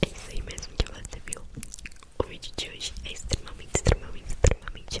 É isso aí mesmo que você viu. O vídeo de hoje é extremamente, extremamente, extremamente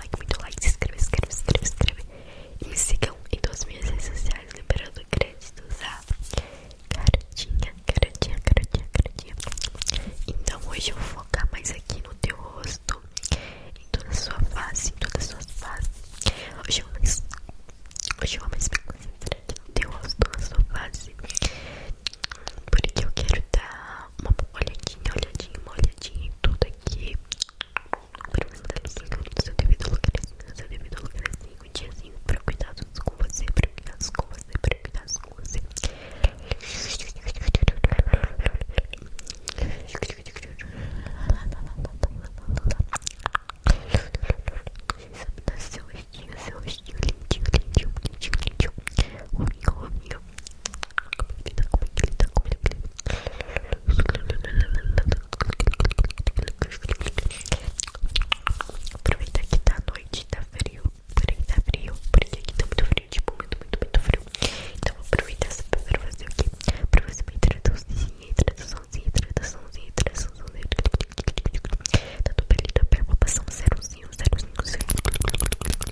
muito like, muito like, se inscreve, se inscreve, se inscreve, se inscreve E me sigam em todas as minhas redes sociais, liberando créditos a tá? cartinha cartinha cartinha cartinha Então hoje eu vou focar mais aqui no teu rosto Em toda a sua face, em todas as Hoje eu vou mais... Hoje eu vou mais no teu rosto, na sua face Porque eu quero dar uma olhadinha, olhadinha, uma olhadinha tudo aqui pra você estar ligado assim, no seu devido lugarzinho, é assim, no seu devido lugarzinho, é assim, um diazinho pra cuidados com você, pra cuidar com você, pra cuidados com você. Sabe, tá seu rostinho, seu rostinho lindinho, lindinho, lindinho, lindinho. Ruminho, ruminho, Aproveita que tá noite, tá frio. Porém, tá frio, porque aqui tá muito frio, tipo, muito, muito, muito frio. Então, aproveita pra fazer o quê? Pra fazer uma introduçãozinha, introduçãozinha, introduçãozinha, introduçãozinha. Tá tudo ali na tá perna, passar um zerozinho, zerozinho.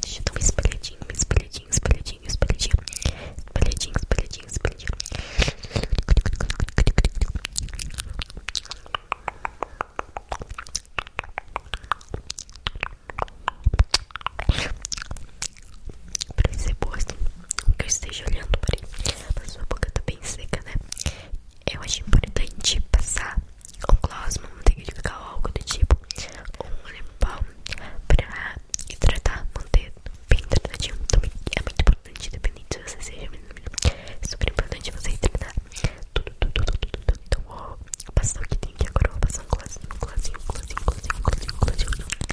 Deixa eu dar um espelhadinho, um espelhadinho, espelhadinho, espelhadinho. Espelhadinho, espelhadinho, espelhadinho pra ser é boas, assim, que eu esteja olhando para a sua boca tá bem seca, né? Eu acho importante passar um gloss, uma manteiga de cacau, algo do tipo, ou um limpão pra hidratar, manter bem hidratadinho. Também é muito importante, dependente se você seja menino, é super importante você hidratar tudo, tudo, tudo, tudo, tudo. Então vou passar o que tem aqui agora, vou passar um glossinho, glossinho, glossinho, glossinho, glossinho,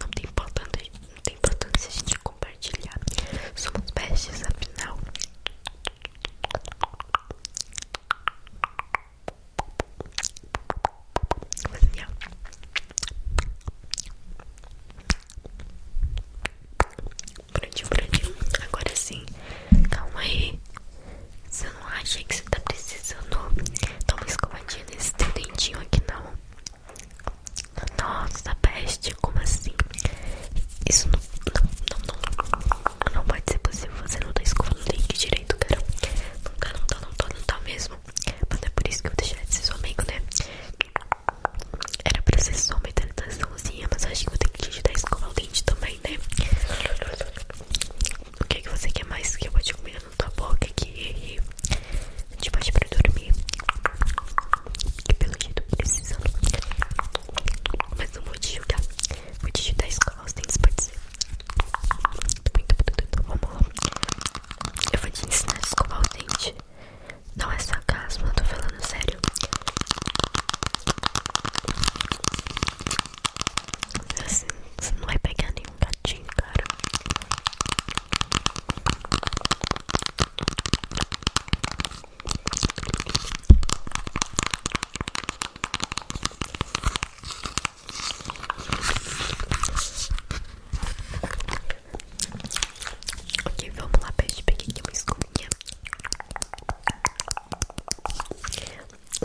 Não tem importância, importância a gente compartilhar. Somos bestes, afinal. Assim, ó. Prontinho, prontinho. Agora sim. Calma aí. Você não acha que você tá precisando dar uma escovadinha nesse teu dentinho aqui, não? Nossa, peste, como assim? Isso não, não, não, não, não pode ser possível. Você não tá escovando o dente direito, cara. Não tá, não tá, não tá, não tá mesmo. Mas é por isso que eu deixei de ser né? Era pra ser só uma hidrataçãozinha, mas acho que eu tenho que te dar escovar o dente também, né? O que, é que você quer mais que eu vou te comer na tua boca aqui? Te tipo, bate pra dormir. Que pelo jeito precisando. Mas não vou te julgar. Vou te dar escola os dentes, pode ser. Vamos lá. Eu vou te ensinar a escovar o dente. Não é sarcasmo, eu tô falando sério você não vai pegar nenhum gatinho, cara. Ok, vamos lá, peixe. Peguei aqui uma escovinha.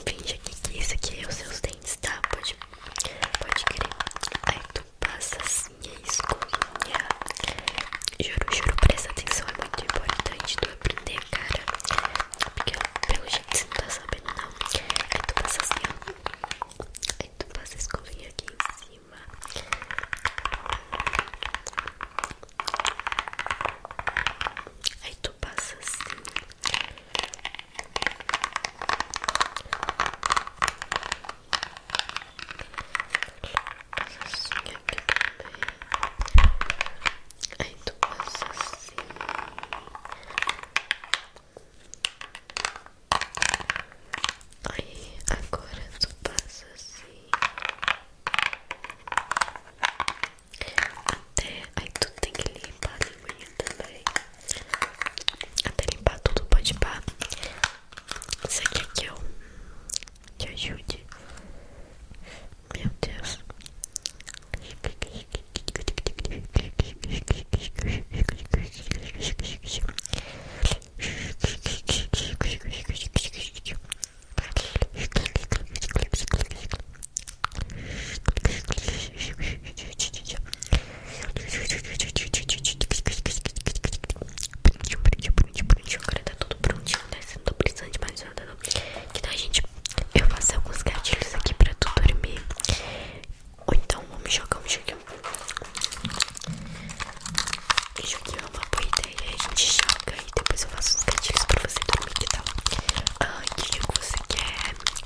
Finge aqui que isso aqui é os seus dentes, tá? Pode, pode querer. Aí tu passa assim a é escovinha. Juro, juro, presta atenção. É muito importante tu aprender, cara. Porque pelo jeito você não tá sabendo, não. Aí tu passa assim, ó. Aí tu passa a escovinha aqui em cima. Aí tu passa assim assim aqui também. Aí tu passa assim. Aí agora tu passa assim. Até aí tu tem que limpar a linguinha também. Até limpar tudo, pode pá. Você quer que eu te ajude? Meu Deus. Prontinho, prontinho, prontinho, Agora tá tudo prontinho, tá né? Você não tá precisando de mais nada, Que tal, gente? Eu faço alguns gatilhos aqui pra tu dormir. Ou então, vamos jogar um joguinho. Esse joguinho é uma boa ideia. A gente joga e depois eu faço uns gatilhos pra você dormir, que tal? o ah, que, que você quer?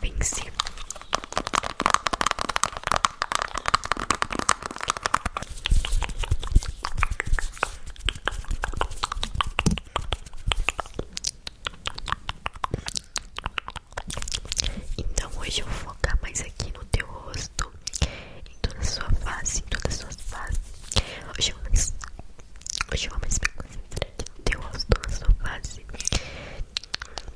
Venci. Então hoje eu vou focar mais aqui no teu rosto em toda a sua face, em todas as suas faces. Hoje vamos, hoje vamos me concentrar no teu rosto, na sua face,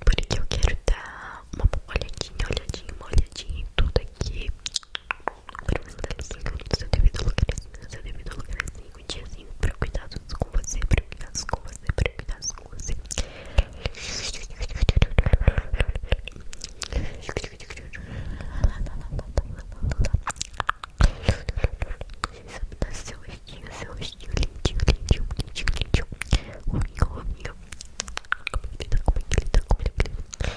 porque eu quero dar uma olhadinha, olhadinha, uma olhadinha em tudo aqui. Para você dar no seu devido lugarzinho, no seu devido lugarzinho, um diazinho para cuidados com você, para cuidar com você, para cuidados use. Sabe seu rostinho, seu rostinho lindinho, lindinho, lindinho, lindinho. O amigo, o amigo. Como ele tá, como ele tá, como ele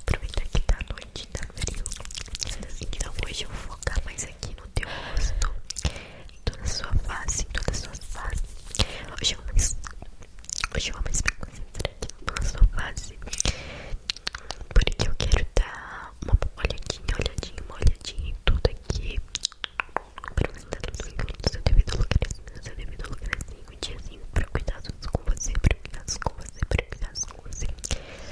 Aproveitar que tá noite, tá frio. Então hoje eu vou focar mais aqui no teu rosto em toda a sua face, em toda a sua face. Hoje eu amo isso. Hoje eu amo isso concentrar em toda sua face. Porque eu quero dar uma olhadinha, olhadinha, uma olhadinha em tudo aqui. Para você dar tudo tranquilo no seu devido lugarzinho, no seu devido lugarzinho, um diazinho pra cuidados com você, pra cuidados com você, pra cuidados com você.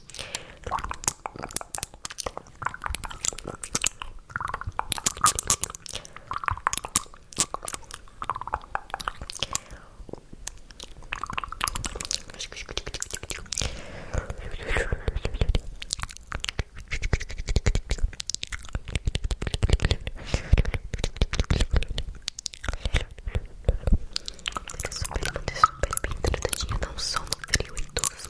Super, super bem tratadinha, não só no frio e doce,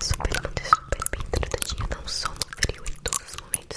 Super, muito super bem tratadinho. Não só no frio em todos os momentos.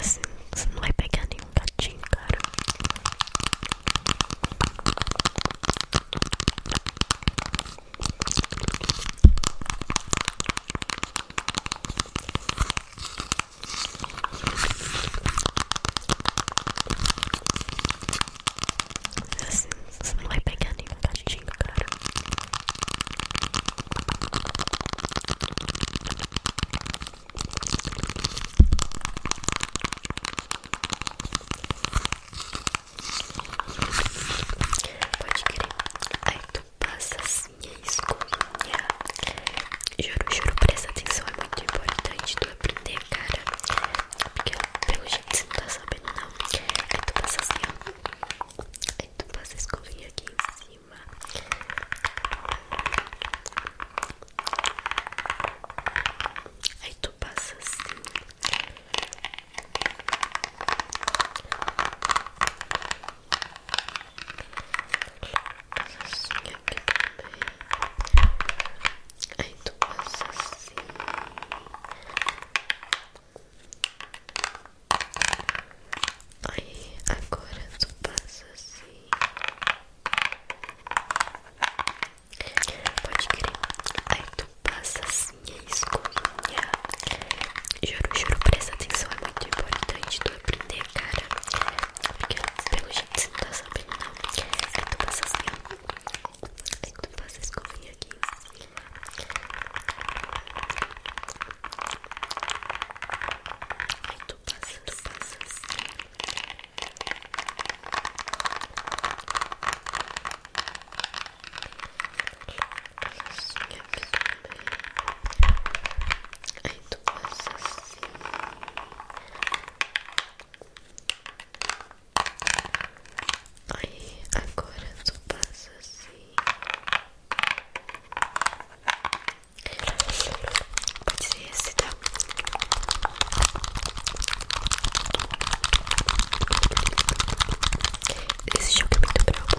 Assim, não vai pegar nenhum gatinho, cara você não vai pegar nenhum gatinho, cara. Pode crer. Aí tu passa assim a é escovinha. Juro, juro, presta atenção. É muito importante tu aprender, cara. Porque pelo jeito você não tá sabendo não Aí tu passa assim, ó Aí tu passa a escovinha aqui em cima Aí tu passa assim Passa assim aqui também Aí tu passa assim. Aí agora tu passa assim. Pode crer. Aí tu passa assim é a escovinha. Juro, juro, presta atenção. É muito importante tu aprender, cara. Porque pelo jeito você não tá sabendo, não. Aí tu passa assim, tu então, faça escovinha aqui. Aí tu passas aí tu passa. Aí tu passas assim. Aí, agora tu passa assim. Pode ser esse, tá? Esse jogo é muito bravo.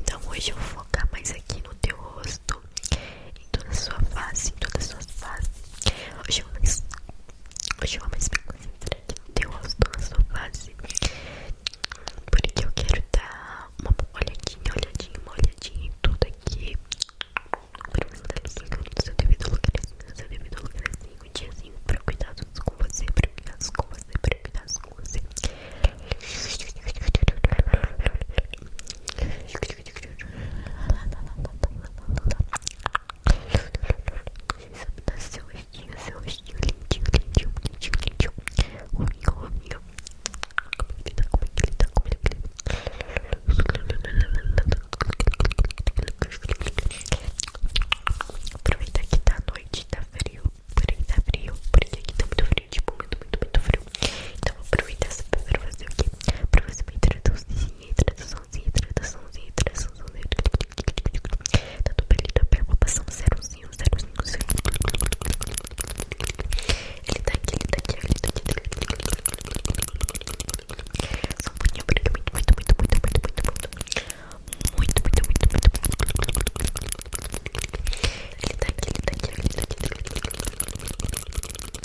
Então hoje eu vou focar mais aqui no teu rosto em toda sua face, em todas as suas faces. Hoje eu amo mais. Hoje eu amo mais concentrar no teu rosto, na sua face. Porque eu quero dar uma olhadinha, olhadinha, uma olhadinha em tudo aqui. Pra você dar tá licença no seu devido lugarzinho, no seu devido lugarzinho, um diazinho pra cuidar com você, pra cuidar com você, pra cuidar com você seu rostinho, seu rostinho lindinho, lindinho, bonitinho, lindinho. Rominho, rominho. Como é que ele tá? Como é que ele tá? Como é que ele Aproveitar que tá à noite, tá frio. Por aí tá frio. Por aí aqui tá muito frio, tipo, muito, muito, muito frio. Então vou aproveitar essa pra fazer o quê? Pra fazer uma introdução hidrataçãozinha, hidrataçãozinha, hidrataçãozinha. Da pele da perna, passando zérozinho, zérozinho, Ele tá aqui, ele tá aqui, ele tá aqui. Só um pouquinho, porque muito, muito, muito, muito, muito, muito, muito, muito, muito, muito, muito, muito. Ele tá aqui, ele tá aqui, ele tá aqui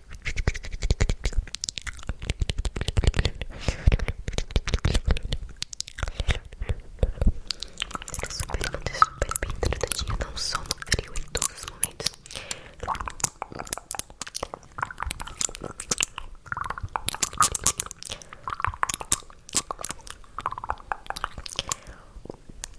Super, muito super bem tratadinha, não só no frio, em todos os momentos.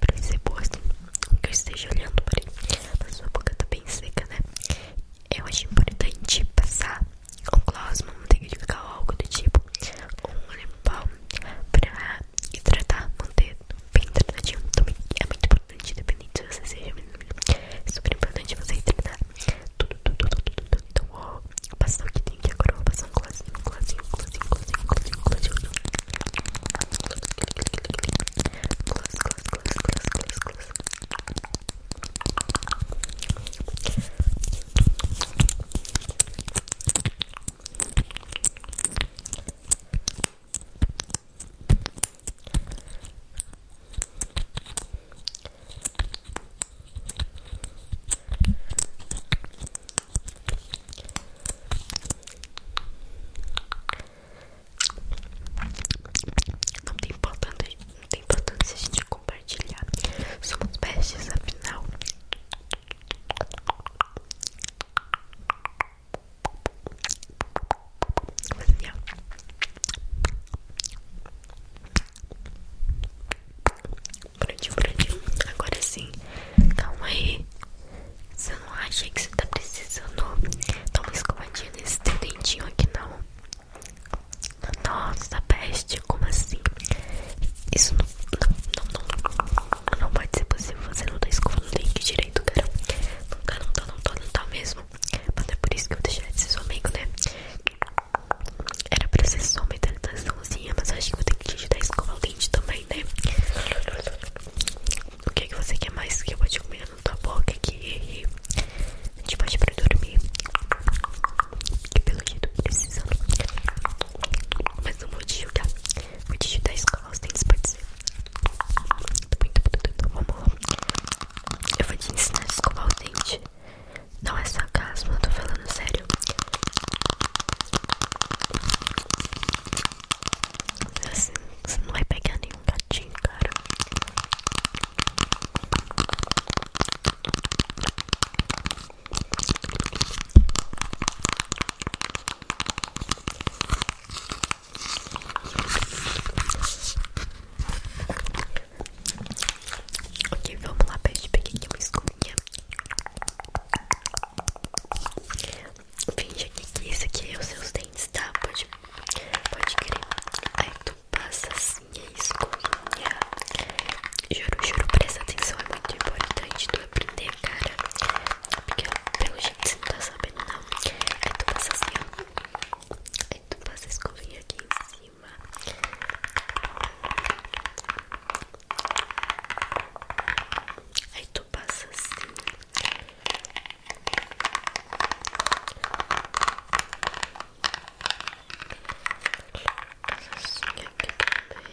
Pra ser posto, assim, que eu esteja olhando por aí. A sua boca tá bem seca, né? Eu acho importante passar um gloss, uma manteiga de cacau, algo do tipo, ou um limão para hidratar, manter bem tratadinho também. É muito bom importante, independente você seja é super importante você treinar tudo, tudo, tudo, tudo, tudo. tudo Então, ó, vou passar o que tem aqui agora, vou passar um colazinho, um colazinho, um colazinho, um colazinho, um colazinho, um colazinho. Close, close, close, close, close, close. Não tem importância, não tem importância a gente compartilhar. Somos bestes, afinal. Faz assim, ó. Prontinho, prontinho. Agora sim. Calma aí. Você não acha que você tá precisando dar uma escovadinha nesse teu dentinho aqui, não? Nossa, peste, como assim? Isso não, não, não, não, não pode ser possível. Você não tá escovando o dente direito, cara. Não tá, não tô tá, não tô tá, não tô tá mesmo. Mas não é por isso que eu deixei deixar de né? Era pra ser só uma hidrataçãozinha, mas eu acho que vou ter que te ajudar a escovar o também, né? O que, é que você quer mais que eu vou te comer na tua boca aqui? A gente pode pra dormir. Que pelo jeito precisando. Mas não vou te julgar. Vou te ajudar a escovar os dentes, pode ser. Vamos lá. Eu vou te ensinar a escovar o dente. Não é sarcasmo, eu tô falando sério. você não vai pegar nenhum gatinho, cara. Ok, vamos lá, peixe. Peguei aqui uma escovinha. Finge aqui que isso aqui é os seus dentes, tá? Pode, pode querer. Aí tu passa assim a é escovinha. Juro, juro, presta atenção. É muito importante tu aprender, cara. Porque pelo jeito você não tá sabendo, não. Aí tu passa assim, ó tu passa a escovinha aqui em cima. Aí tu passa assim. Passa assim aqui também.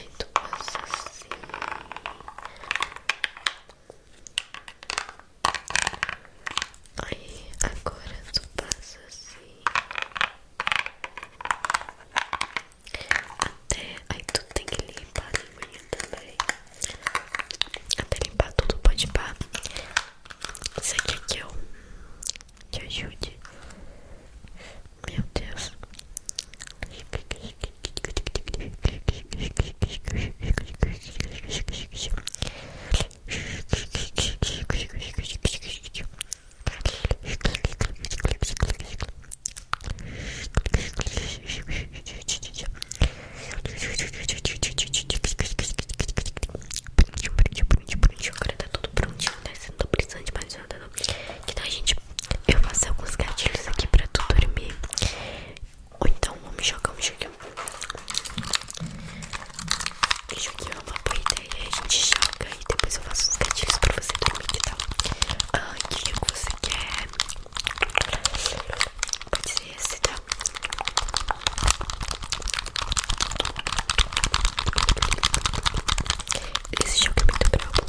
Aí tu passa assim. Aí, agora tu passa assim até aí tu tem que limpar a linguinha também até limpar tudo pode pá isso aqui que eu te ajude meu Deus Agora tá tudo prontinho, né? Você não tá precisando de mais nada, não. Então, gente, eu faço alguns gatilhos aqui pra tu dormir. Ou então vamos jogar um joguinho. Esse joguinho é uma boa ideia. A gente joga e depois eu faço uns gatilhos pra você dormir, que tal? Ah, que você quer? Pode ser esse, tá? Esse jogo é muito bom.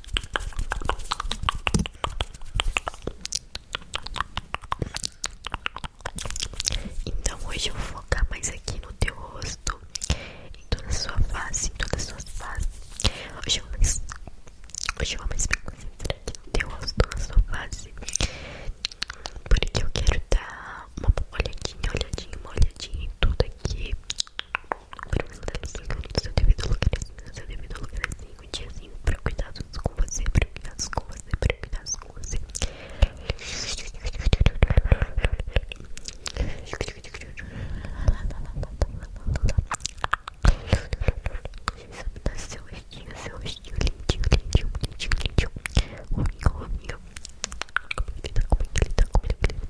Então hoje eu vou focar mais aqui no teu rosto, em toda a sua face, em todas as Hoje eu vou mais, hoje vou mais me concentrar aqui no teu rosto, na sua face, porque eu quero dar uma olhadinha, olhadinha, uma olhadinha em tudo aqui para você estar no seu devido lugarzinho, no seu devido lugarzinho, diazinho, para cuidados com você, para cuidados com você, para cuidados com você. Seu rostinho, seu rostinho, lindinho, lindinho, lindinho, lindinho. Amigo, amigo. Como ele tá, como ele tá, como ele tá.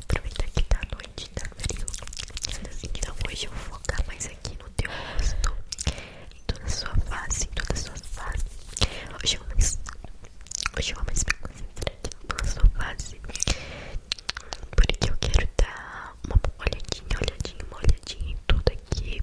Aproveitar que tá noite, tá frio. Então hoje eu vou focar mais aqui no teu rosto, em toda a sua face, em toda sua face. Hoje eu vou mais, hoje eu vou me concentrar em toda a sua face, porque eu quero dar uma olhadinha, olhadinha, uma olhadinha em tudo aqui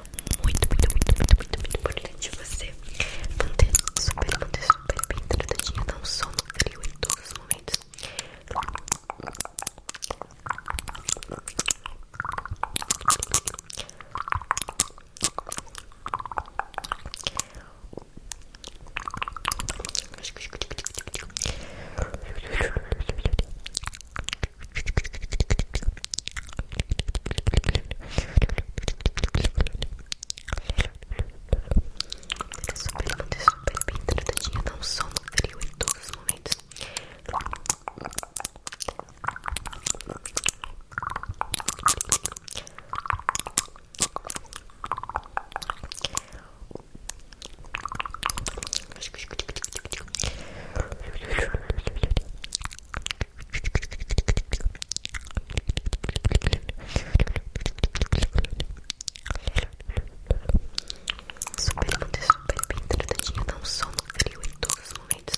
muito, muito, muito, muito, muito, muito importante você manter super, manter super bem tratadinha, não só no em todos os momentos. Fica é super, super, super bem tratadinha, não só no frio, em todos os momentos. Super, muito super bem tratadinho, não só no frio em todos os momentos.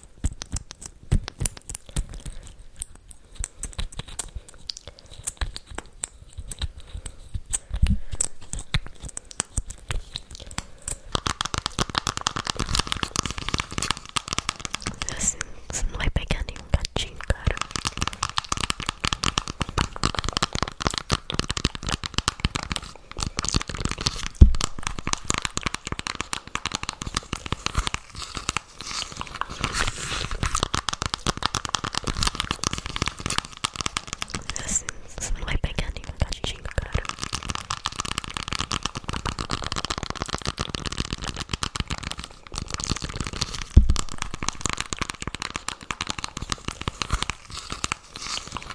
Assim, você não vai pegar nenhum gatinho, cara você não vai pegar nenhum gatinho, cara.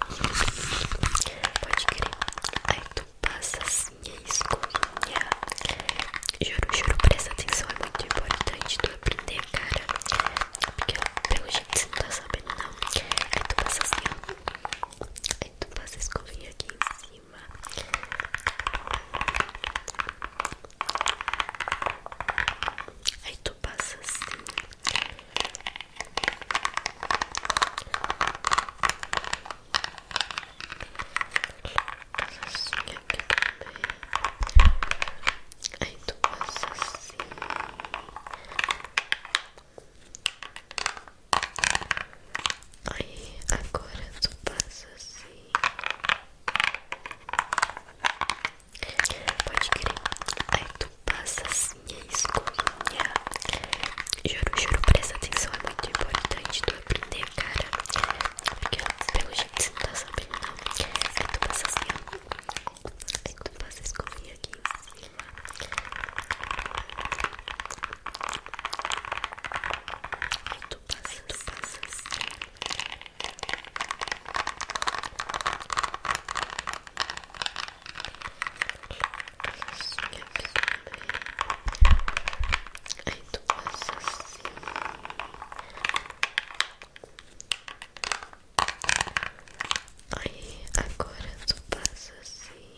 Pode crer. Aí tu passa assim, é escovinha. Juro, juro, presta atenção, é muito importante tu aprender, cara. Porque pelo jeito você não tá sabendo, não. Aí tu passa assim, Aí tu passa a escovinha aqui em cima. Aí tu passa assim. Assim aqui também. Aí tu passa assim. Aí agora tu passa assim. Pode querer. Aí tu passa assim. E é isso. Juro, juro, presta atenção. É muito importante tu aprender, cara. Porque pelo jeito você não tá sabendo, não. Aí tu passa assim, ó. Aí tu passa a escovinha aqui. Aí tu passa, tu passa. Aí assim. E tu passa assim. Aí agora tu passa assim.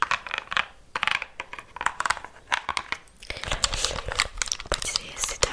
Pode ser esse, tá?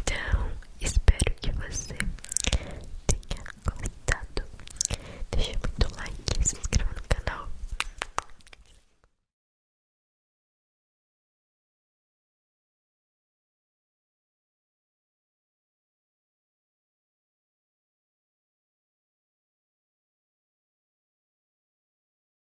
Então, espero que você tenha gostado. Deixa muito like, e se inscreva no canal.